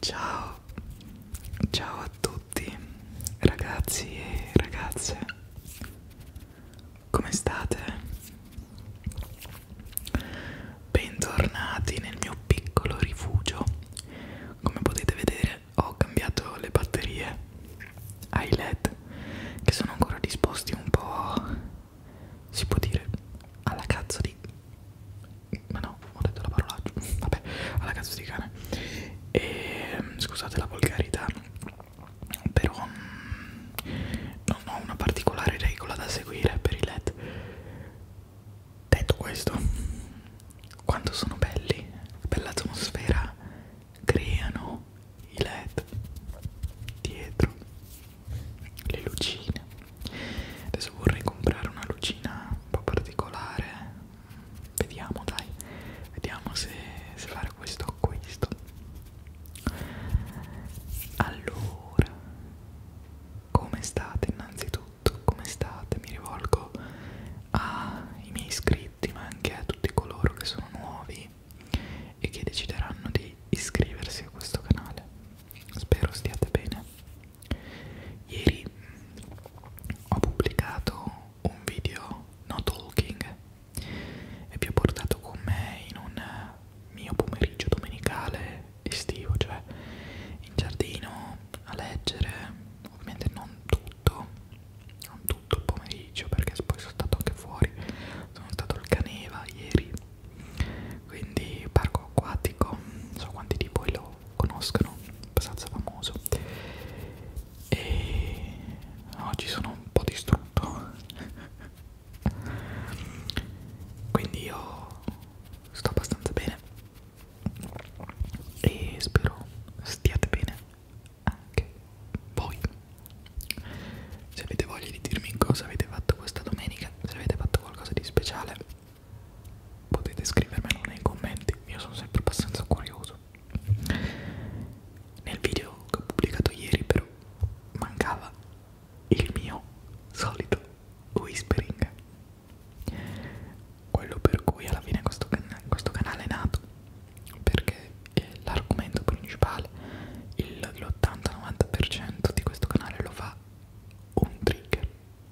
Ciao, ciao a tutti ragazzi e ragazze, come state? Bentornati nel mio piccolo rifugio. Come potete vedere, ho cambiato le batterie ai LED che sono ancora disposti un po' si può dire alla cazzo di ma no, ho detto la parolaccia. Vabbè, alla cazzo di cane. E ehm, scusate la volgarità, però mm, non ho una particolare regola da seguire per i LED. Detto questo, quanto sono belli, bella atmosfera creano i led dietro, le lucine. Adesso vorrei comprare una lucina un po' particolare, vediamo dai, vediamo se, se fare questo acquisto. Allora, come state innanzitutto, come state? Mi rivolgo ai miei iscritti ma anche a tutti coloro che sono nuovi e che decideranno di iscriversi a questo canale. Spero stiate bene. Ieri ho pubblicato un video no talking e vi ho portato con me in un mio pomeriggio domenicale estivo, cioè in giardino a leggere, ovviamente non tutto, non tutto il pomeriggio perché poi sono stato anche fuori, sono stato al Caneva ieri, quindi parco acquatico, non so quanti di voi lo conoscono, abbastanza famoso e oggi sono un po' distrutto quindi io sto abbastanza bene e spero stiate bene anche voi se avete voglia di dirmi cosa avete fatto questa domenica se avete fatto qualcosa di speciale potete scrivermelo nei commenti io sono sempre abbastanza curioso nel video che ho pubblicato ieri però mancava il mio solito whispering quello per cui alla fine questo, can questo canale è nato perché l'argomento principale l'80-90% di questo canale lo fa un trigger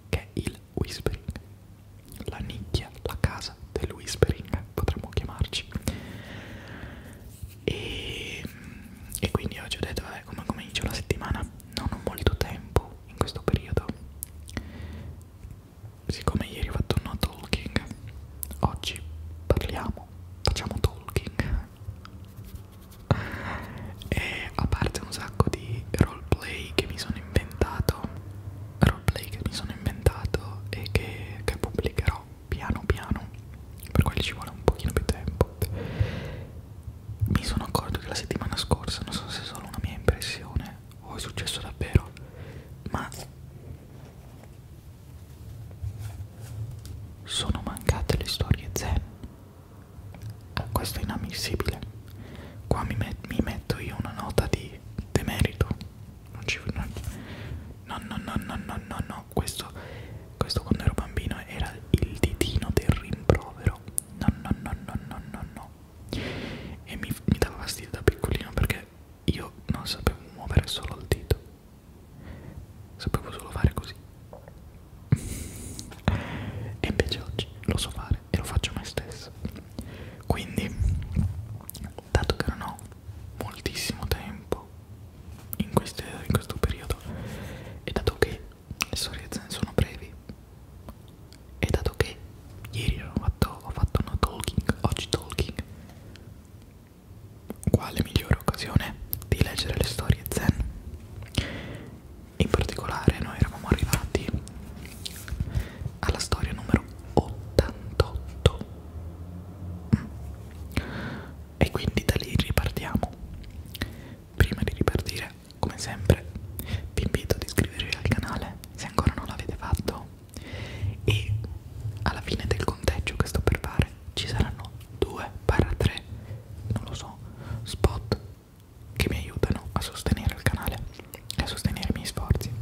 che è il whispering la nicchia, la casa del whispering potremmo chiamarci e, e quindi oggi ho detto vabbè come comincio la settimana non ho molto tempo in questo periodo siccome ieri ho fatto no talking oggi parliamo facciamo talking e a parte un sacco di roleplay che mi sono inventato roleplay che mi sono inventato e che, che pubblicherò piano piano per quelli ci vuole un pochino più tempo mi sono accorto che la settimana scorsa, non so se è solo una mia impressione o è successo davvero, ma sono mancate le storie zen. Questo è inammissibile. Qua mi, met mi metto io una nota di demerito. Non ci non, no, no, no, no, no, no, no. Questo, questo quando ero bambino era il ditino del rimprovero no no no no no no no e mi, mi dava fastidio da piccolino perché io non sapevo muovere solo il dito sapevo solo fare così e invece oggi lo so fare e lo faccio me stesso quindi dato che non ho moltissimo tempo in, queste, in questo periodo e dato che le storie eh, sono brevi e dato che ieri ho fatto, ho fatto una talking, oggi talking quale migliore occasione di leggere le storie zen in particolare noi eravamo arrivati alla storia numero 88 mm. e quindi da lì ripartiamo Prima di ripartire, come sempre, vi invito ad iscrivervi al canale se ancora non l'avete fatto e alla fine del conteggio che sto per fare ci saranno 2 3 non lo so spot che mi aiutano a sostenere il canale e a sostenere i miei sforzi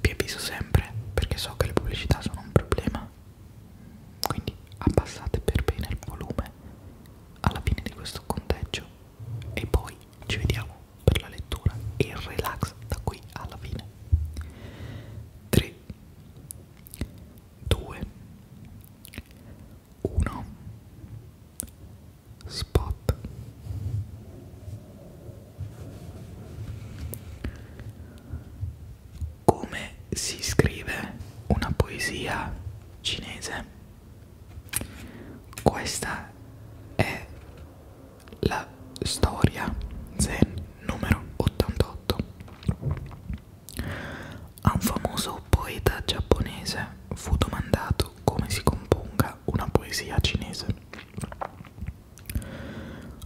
vi avviso sempre perché so che le pubblicità sono un problema quindi abbassate per bene il volume alla fine di questo conteggio e poi ci vediamo per la lettura e il relax da qui alla fine 3 2 1 spot come si scrive una poesia cinese questa è la storia zen numero 88. A un famoso poeta giapponese fu domandato come si componga una poesia cinese.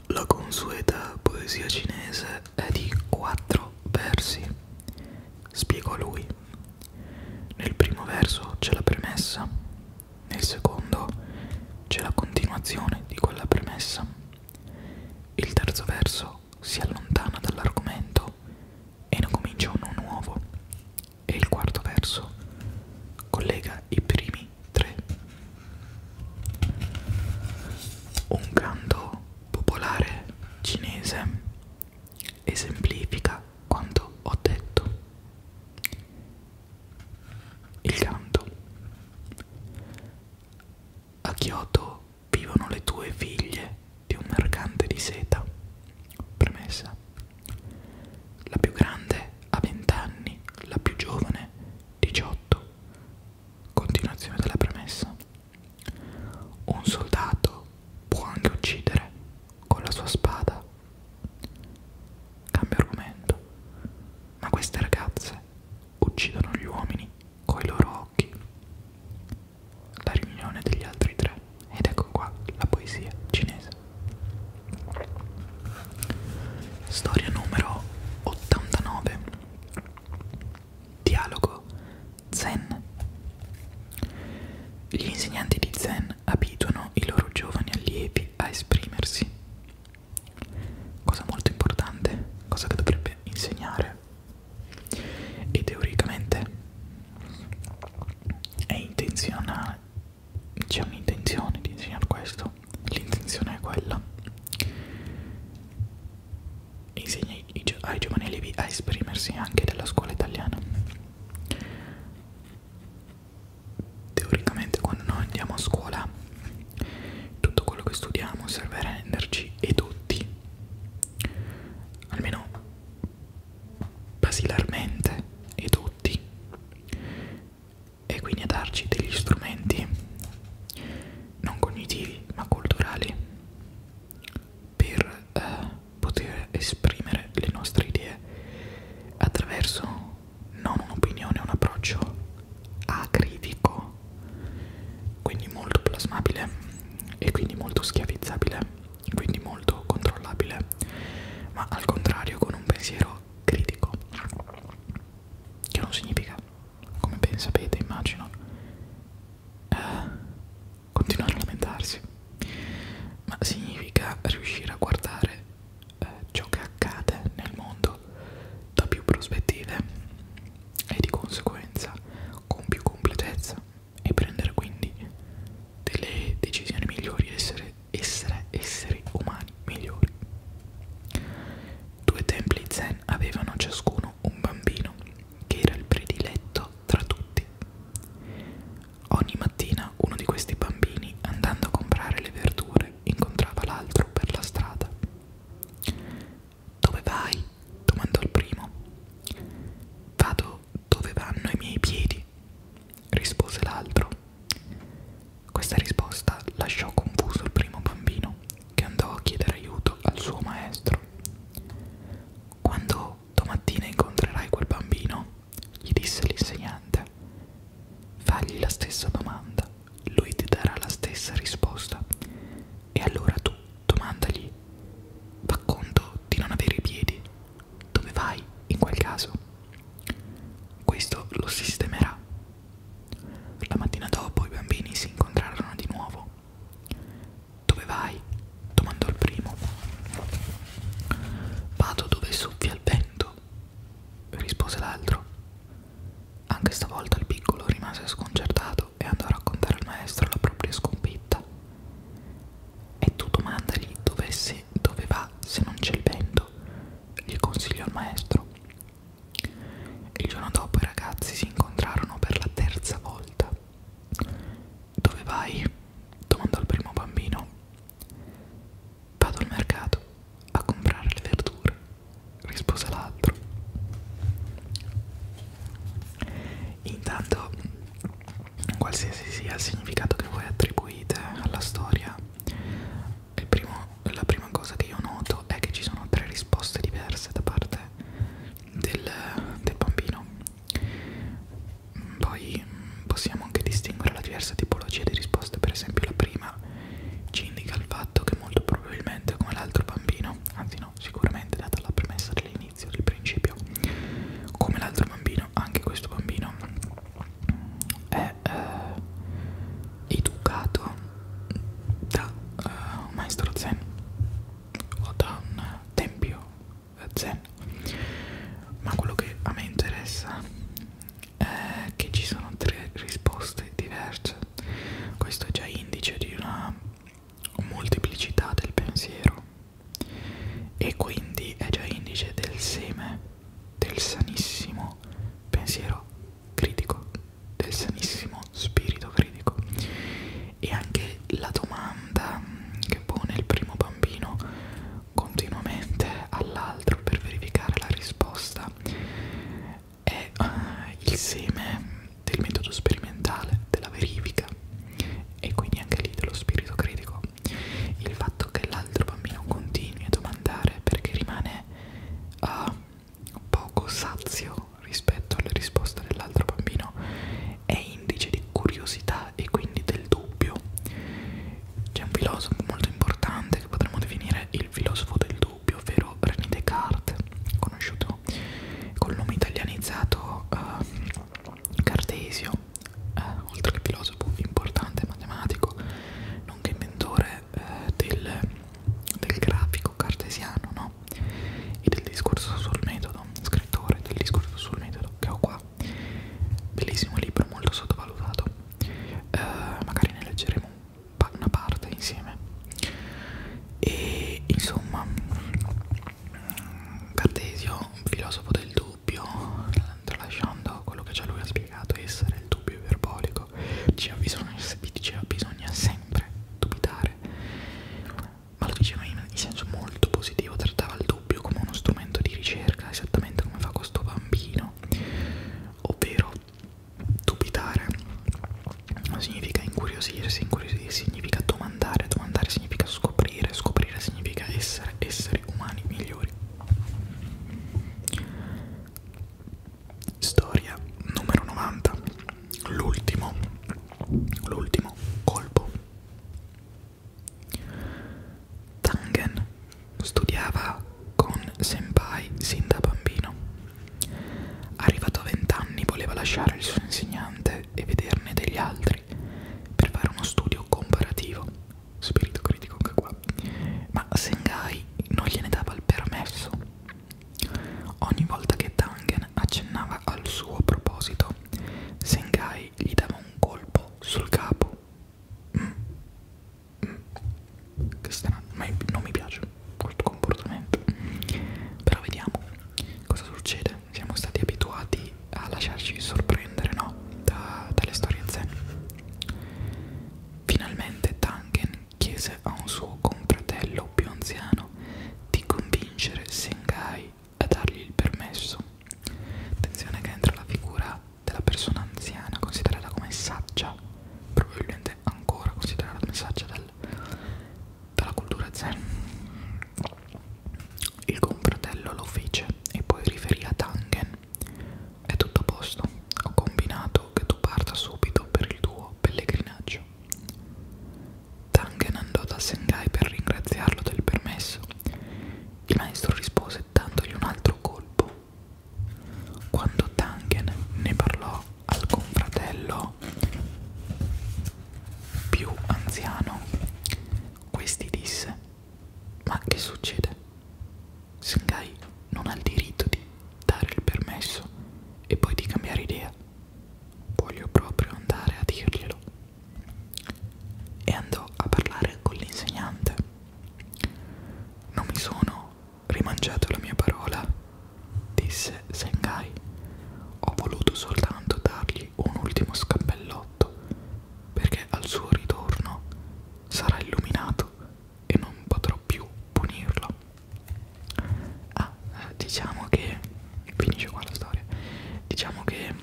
La consueta poesia cinese è di quattro versi, spiegò lui. Nel primo verso c'è la premessa, nel secondo c'è la continuazione di quella premessa. Il terzo verso si allontana dall'argomento e ne comincia uno nuovo. E il quarto verso collega i primi tre. Un canto popolare cinese esemplifica quanto ho detto. Il canto. A Kyoto vivono le tue figlie di un mercante di seta. Premessa. La più grande ha 20 anni, la più giovane 18. Continuazione della premessa. Un soldato può anche uccidere con la sua spada. Cambio argomento. Ma queste ragazze uccidono gli uomini coi loro occhi. La riunione degli altri tre. Ed ecco qua la poesia cinese. Storia numero 89. Dialogo Zen. Gli insegnanti di Zen abituano i loro giovani allievi a esprimersi. Cosa molto importante, cosa che dovrebbe insegnare. E teoricamente è intenzionale, c'è un'intenzione di insegnare questo, l'intenzione è quella insegna ai giovani elevi a esprimersi anche della scuola italiana. Teoricamente quando noi andiamo a scuola tutto quello che studiamo serve a renderci edotti, almeno basilarmente edotti, e quindi a darci degli strumenti non cognitivi ma culturali per eh, poter esprimere le nostre idee attraverso non un'opinione, un approccio acritico, quindi molto plasmabile e quindi molto schiavizzabile, quindi molto controllabile, ma al contrario con un pensiero critico, che non significa, come ben sapete immagino, eh, continuare a lamentarsi, ma significa riuscire a guardare eh, ciò che accade nel mondo da più prospettive e di conseguenza con più completezza e prendere quindi delle decisioni migliori, essere, essere esseri umani migliori. Due templi zen avevano ciascuno un bambino che era il prediletto tra tutti. Ogni mattina uno di questi bambini, andando a comprare le verdure, incontrava l'altro per la strada. Dove vai? domandò il primo. Vado dove vanno i miei piedi, rispose l'altro. Questa risposta lasciò confuso il primo bambino, che andò a chiedere aiuto al suo maestro. Quando domattina incontrerai quel bambino, gli disse l'insegnante. Fagli la stessa domanda, lui ti darà la stessa risposta. E allora tu domandagli, fa conto di non avere i piedi, dove vai in quel caso? Questo lo sistemerà. La mattina dopo i bambini si incontrarono di nuovo dove vai? domandò il primo. Vado dove soffia il vento, rispose l'altro. Anche stavolta il piccolo rimase sconcertato e andò a raccontare al maestro la propria sconfitta. E tu domandagli dove, se, dove va se non c'è il vento, gli consigliò il maestro. Il giorno dopo i ragazzi si incontrarono per la terza volta. Dove vai? domandò il primo bambino. Vado al mercato a comprare le verdure, rispose l'altro. Intanto, qualsiasi sia il significato che voi attribuite alla storia, il primo, la prima cosa che io noto è che ci sono tre risposte diverse da parte del, del bambino. Poi possiamo anche distinguere la diversa tipologia di risposte, per esempio la prima ci indica il fatto che molto probabilmente come l'altro bambino, anzi no, sicuramente data la premessa dell'inizio, del principio, come l'altro bambino, anche questo bambino è eh, educato da eh, un maestro zen o da un tempio zen ma quello che a me interessa è che ci sono tre risposte diverse questo è già indice di una molteplicità del pensiero e quindi è già indice del seme del sanissimo pensiero critico del sanissimo spirito critico e anche la domanda che pone il primo bambino continuamente all'altro per verificare la risposta è eh, il seme del metodo sperimentale, della verifica e quindi anche lì dello spirito critico. Il fatto che l'altro bambino continui a domandare perché rimane uh, poco sazio rispetto alla risposta dell'altro bambino è indice di curiosità e quindi del dubbio. C'è un filosofo molto importante che potremmo definire il filosofo del dubbio, ovvero René Descartes, conosciuto col nome italianizzato eh, Cartesio, eh, oltre che filosofo importante matematico, nonché inventore eh, del, del grafico cartesiano no? e del discorso sul metodo, scrittore del discorso sul metodo che ho qua fa bellissimo libro molto sottovalutato eh, magari ne leggeremo un pa una parte insieme e insomma mm, Cartesio filosofo del dubbio tralasciando quello che già lui ha spiegato essere il dubbio iperbolico ci bisogna, diceva bisogna sempre dubitare ma lo diceva in, in senso molto positivo, trattava il dubbio come uno strumento di ricerca, esattamente come fa questo bambino, ovvero dubitare non significa incuriosirsi, incuriosire significa domandare, domandare significa scoprire, scoprire significa essere esseri umani migliori. Storia numero 90, l'ultimo, l'ultimo colpo. Tangen studiava con Senpai sin da bambino. Arrivato a vent'anni voleva lasciare il suo insegnante e vederne degli altri per fare uno studio comparativo, spirito critico anche qua, ma Sengai non gliene dava il permesso. Ogni volta che Tangen accennava al suo proposito, Sengai gli dava un colpo sul capo. Mm. Mm. Che strano, ma non mi piace questo comportamento. Però vediamo cosa succede. Siamo stati abituati a lasciarci sorprendere, no? Da, dalle storie zen. Finalmente Tanken chiese a un suo confratello più anziano di convincere Sengai a dargli il permesso. Attenzione che entra la figura della persona anziana, considerata come saggia, probabilmente ancora considerata come saggia dal, dalla cultura zen. Il confratello lo fece e poi riferì a Tangen. È tutto a posto, ho combinato che tu parta subito per il tuo pellegrinaggio. Tangen andò da Sengai per ringraziarlo del permesso il maestro rispose dandogli un altro colpo. Quando Tangen ne parlò al confratello più anziano, questi disse: Ma che succede? Sengai non ha il diritto di dare il permesso e poi di cambiare idea. Voglio proprio andare a dirglielo e andò a parlare con l'insegnante. Non mi sono rimangiato la mia parola, disse Sengai. Ho voluto soltanto dargli un ultimo scappellotto, perché al suo ritorno sarà illuminato e non potrò più punirlo. Ah, eh, diciamo che finisce qua la storia. Diciamo che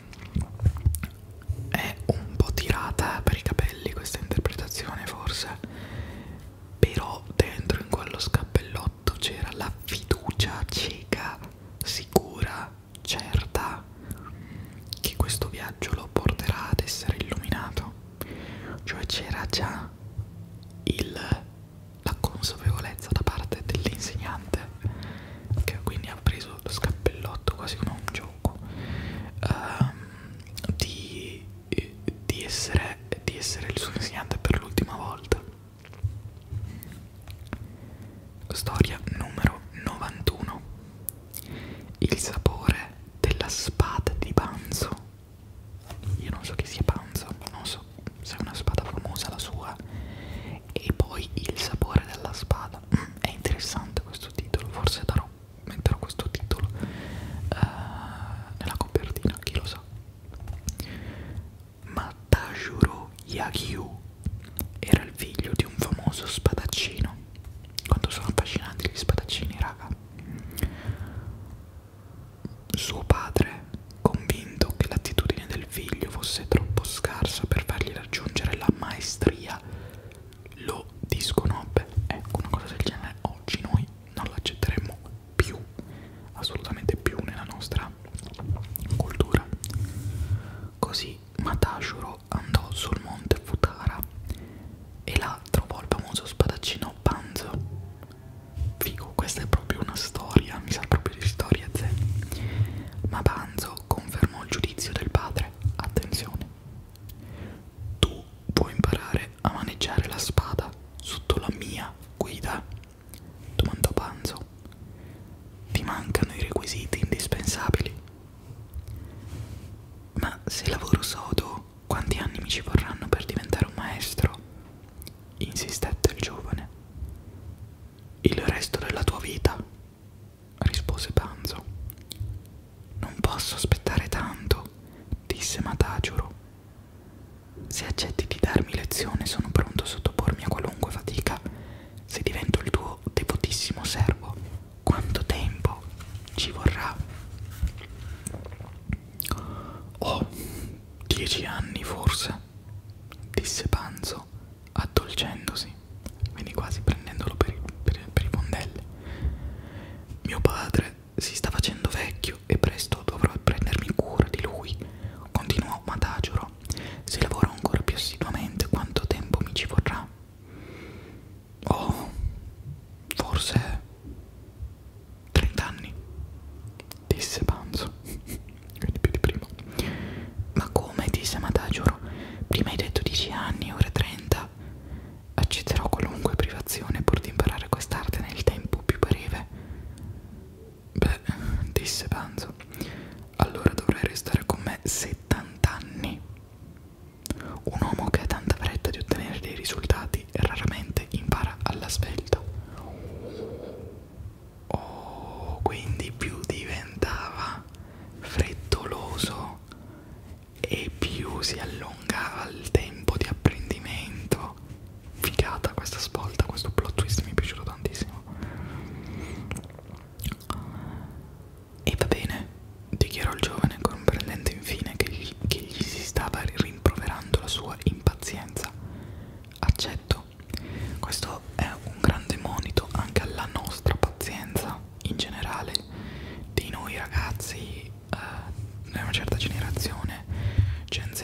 è un po' tirata per i capelli questa interpretazione forse però dentro in quello scappellotto c'era la fiducia cieca sicura certa che questo viaggio lo porterà ad essere illuminato cioè c'era già il, la consapevolezza da parte dell'insegnante che quindi ha preso lo scappellotto quasi come un gioco uh, di, di, essere, di essere il suo insegnante per l'ultima volta storia numero 91 il sapore della spada di Panzo io non so chi sia Panzo non so se è una spada famosa la sua e poi il sapore della spada mm, è interessante questo titolo forse darò metterò questo titolo uh, nella copertina chi lo sa Matajuro Yagyu era il figlio di un famoso spadaccino quanto sono affascinanti gli spadaccini raga suo padre convinto che l'attitudine del figlio fosse troppo scarsa per fargli raggiungere la maestria, lo disconobbe. Ecco, una cosa del genere oggi noi non l'accetteremmo più, assolutamente più nella nostra cultura. Così Matashuro andò sul monte Futara e là trovò il famoso spadaccino Panzo. Figo, questa è proprio una storia, mi sa proprio di storia Z. Ma Panzo confermò il giudizio del padre. Attenzione. Tu puoi imparare a maneggiare la spada sotto la mia guida? domandò Panzo. Ti mancano i requisiti indispensabili. Ma se lavoro sodo, quanti anni mi ci vorranno per diventare un maestro? insistette il giovane. Il resto della tua vita, rispose Panzo. Non posso aspettare tanto, disse Matagiuro. Se accetti di darmi lezione sono pronto a sottopormi a qualunque fatica. Se divento il tuo devotissimo servo, quanto tempo ci vorrà? Oh, dieci anni forse, disse Panzo, addolcendosi. Quindi quasi prendendolo per i, per, per i fondelli. Mio padre si sta facendo vecchio e presto dovrò prendermi cura di lui. Continuò Matagioro. Se lavoro ancora più assiduamente, quanto tempo mi ci vorrà? Oh, forse 30 anni, disse Panzo, quindi più di prima. Ma come? disse Matagioro. Prima hai detto 10 anni, ora 30. Accetterò qualunque privazione pur di imparare quest'arte nel tempo più breve. Beh, disse Panzo, allora dovrai restare con me 70 anni. Un uomo che ha tanta fretta di ottenere dei risultati raramente impara alla svelta. Oh, quindi più diventava, frettoloso e più si allungava il tempo di apprendimento. Figata questa svolta, questo plot twist mi è piaciuto tantissimo. E va bene, dichiarò il giovane comprendendo infine che gli, che gli si stava rimproverando la sua impazienza. Accetto, questo è un grande monito anche alla nostra pazienza in generale di noi ragazzi eh, di una certa generazione Gen Z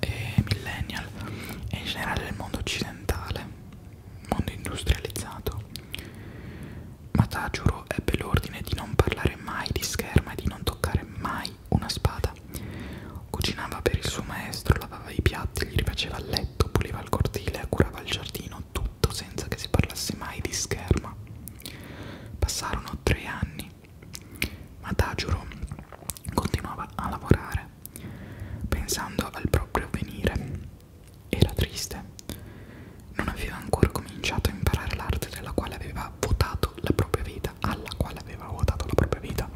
e millennial e in generale del mondo occidentale mondo industrializzato ma Tajuro ebbe l'ordine di non parlare mai di scherma e di non toccare mai una spada cucinava per il suo maestro lavava i piatti gli rifaceva il letto puliva il cortile curava il giardino facevano tutto senza che si parlasse mai di scherma. Passarono tre anni, ma Tajuro continuava a lavorare, pensando al proprio avvenire. Era triste. Non aveva ancora cominciato a imparare l'arte della quale aveva votato la propria vita, alla quale aveva votato la propria vita.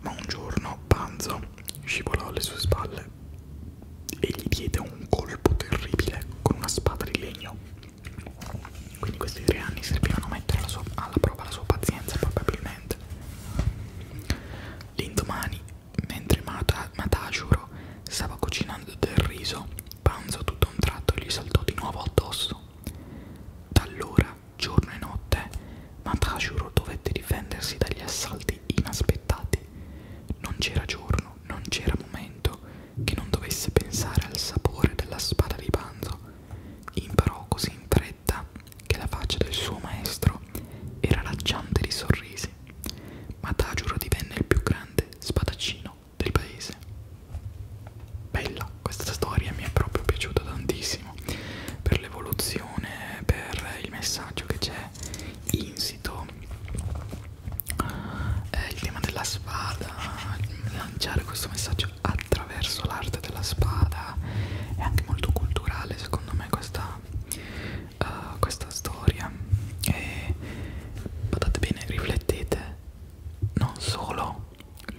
Ma un giorno Panzo scivolò alle sue spalle e gli diede un colpo terribile con una spada di legno. Quindi questi tre anni servivano a mettere alla, sua, alla prova la sua pazienza probabilmente. L'indomani, mentre Mata, Matajuro stava cucinando del riso, Panzo tutto a un tratto gli saltò di nuovo addosso. Da allora, giorno e notte, Matajuro dovette difendersi dagli assalti inaspettati non c'era giorno, non c'era momento che non dovesse pensare al sapore della spada di Banzo. Imparò così in fretta che la faccia del suo maestro era raggiante di sorrisi. Mataguro divenne il più grande spadaccino del paese. Bella, questa storia mi è proprio piaciuta tantissimo per l'evoluzione, per il messaggio che c'è insito eh, il tema della spada lanciare questo messaggio attraverso l'arte della spada è anche molto culturale secondo me questa, uh, questa storia e guardate bene riflettete non solo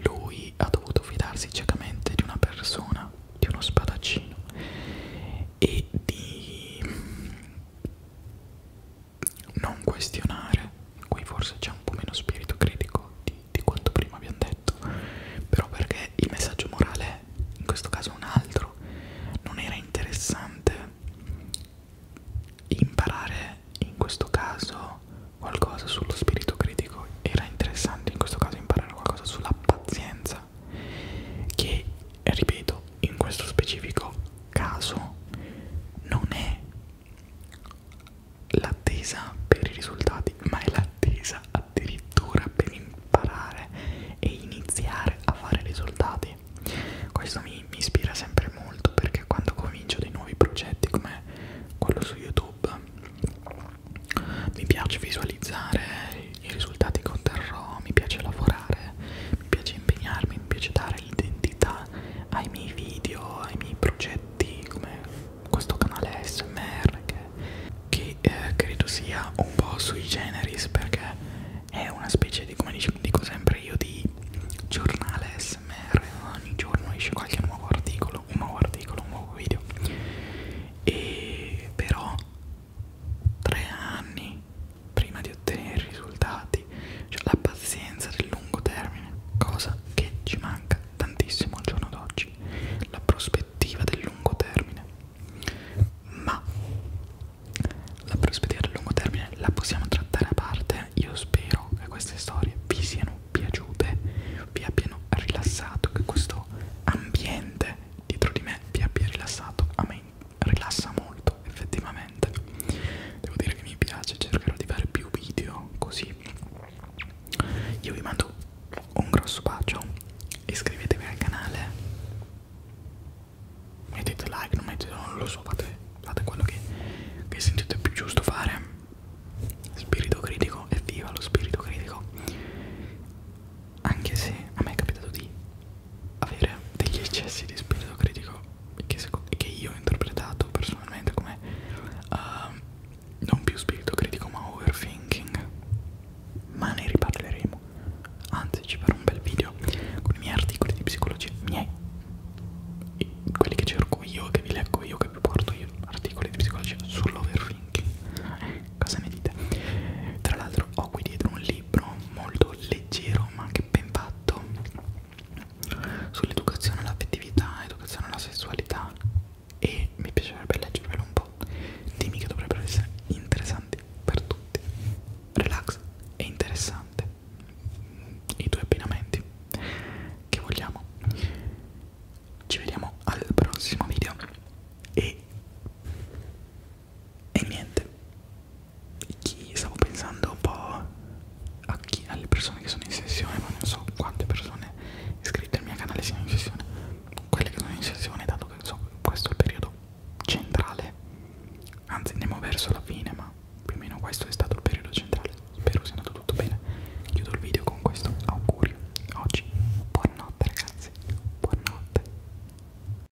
lui ha dovuto fidarsi ciecamente di una persona di uno spadaccino e di non questionare, qui forse c'è un po' meno spirito critico di, di quanto prima abbiamo detto, però perché il messaggio morale in questo caso è un altro, non era interessante imparare in questo caso qualcosa sullo spirito critico, era interessante in questo caso imparare qualcosa sulla pazienza che ripeto in questo specifico caso non è l'attesa per i risultati ma è l'attesa addirittura per imparare e iniziare a fare risultati questo mi, mi ispira sempre molto perché quando comincio dei nuovi progetti come quello su youtube mi piace visualizzare i risultati che otterrò, mi piace lavorare, mi piace impegnarmi, mi piace dare l'identità ai miei video, ai miei progetti come questo canale ASMR che, che eh, credo sia un po' sui generis perché è una specie di, come dico, dico sempre io, di giornale ASMR, ogni giorno esce qualche nuovo articolo, un nuovo articolo, un nuovo video e però tre anni prima di ottenere risultati, cioè la pazienza del lungo termine, cosa che ci manca tantissimo al giorno d'oggi, la prospettiva del lungo termine. Ma la prospettiva del lungo termine la possiamo trattare a parte, io spero che queste storie vi siano piaciute, vi abbiano rilassato, che questo ambiente dietro di me vi abbia rilassato a me rilassa molto effettivamente devo dire che mi piace cercherò di fare più video così io vi mando un grosso bacio iscrivetevi al canale mettete like non mettete non lo so fate, fate quello che, che sentite più giusto fare spirito critico evviva lo spirito critico anche se a me è capitato di avere degli eccessi di spirito critico che, che io ho interpretato personalmente come uh, non più spirito critico ma overthinking ma ne riparleremo anzi ci farò un bel video con i miei articoli di psicologia miei quelli che cerco io che vi leggo io che vi porto io articoli di psicologia sull'overthinking eh, cosa ne dite tra l'altro ho qui dietro un link libro molto leggero ma anche ben fatto sull'educazione all'affettività, educazione alla sessualità e mi piacerebbe leggervelo un po' temi che dovrebbero essere interessanti per tutti relax e interessante i due abbinamenti che vogliamo ci vediamo al prossimo video e e niente chi, stavo pensando un po' a chi, alle persone che sono in sessione ma non so quante persone iscritte al mio canale siano in sessione quelle che sono in sessione dato che so, questo è il periodo centrale anzi andiamo verso la fine ma più o meno questo è stato il periodo centrale spero sia andato tutto bene chiudo il video con questo augurio oggi buonanotte ragazzi buonanotte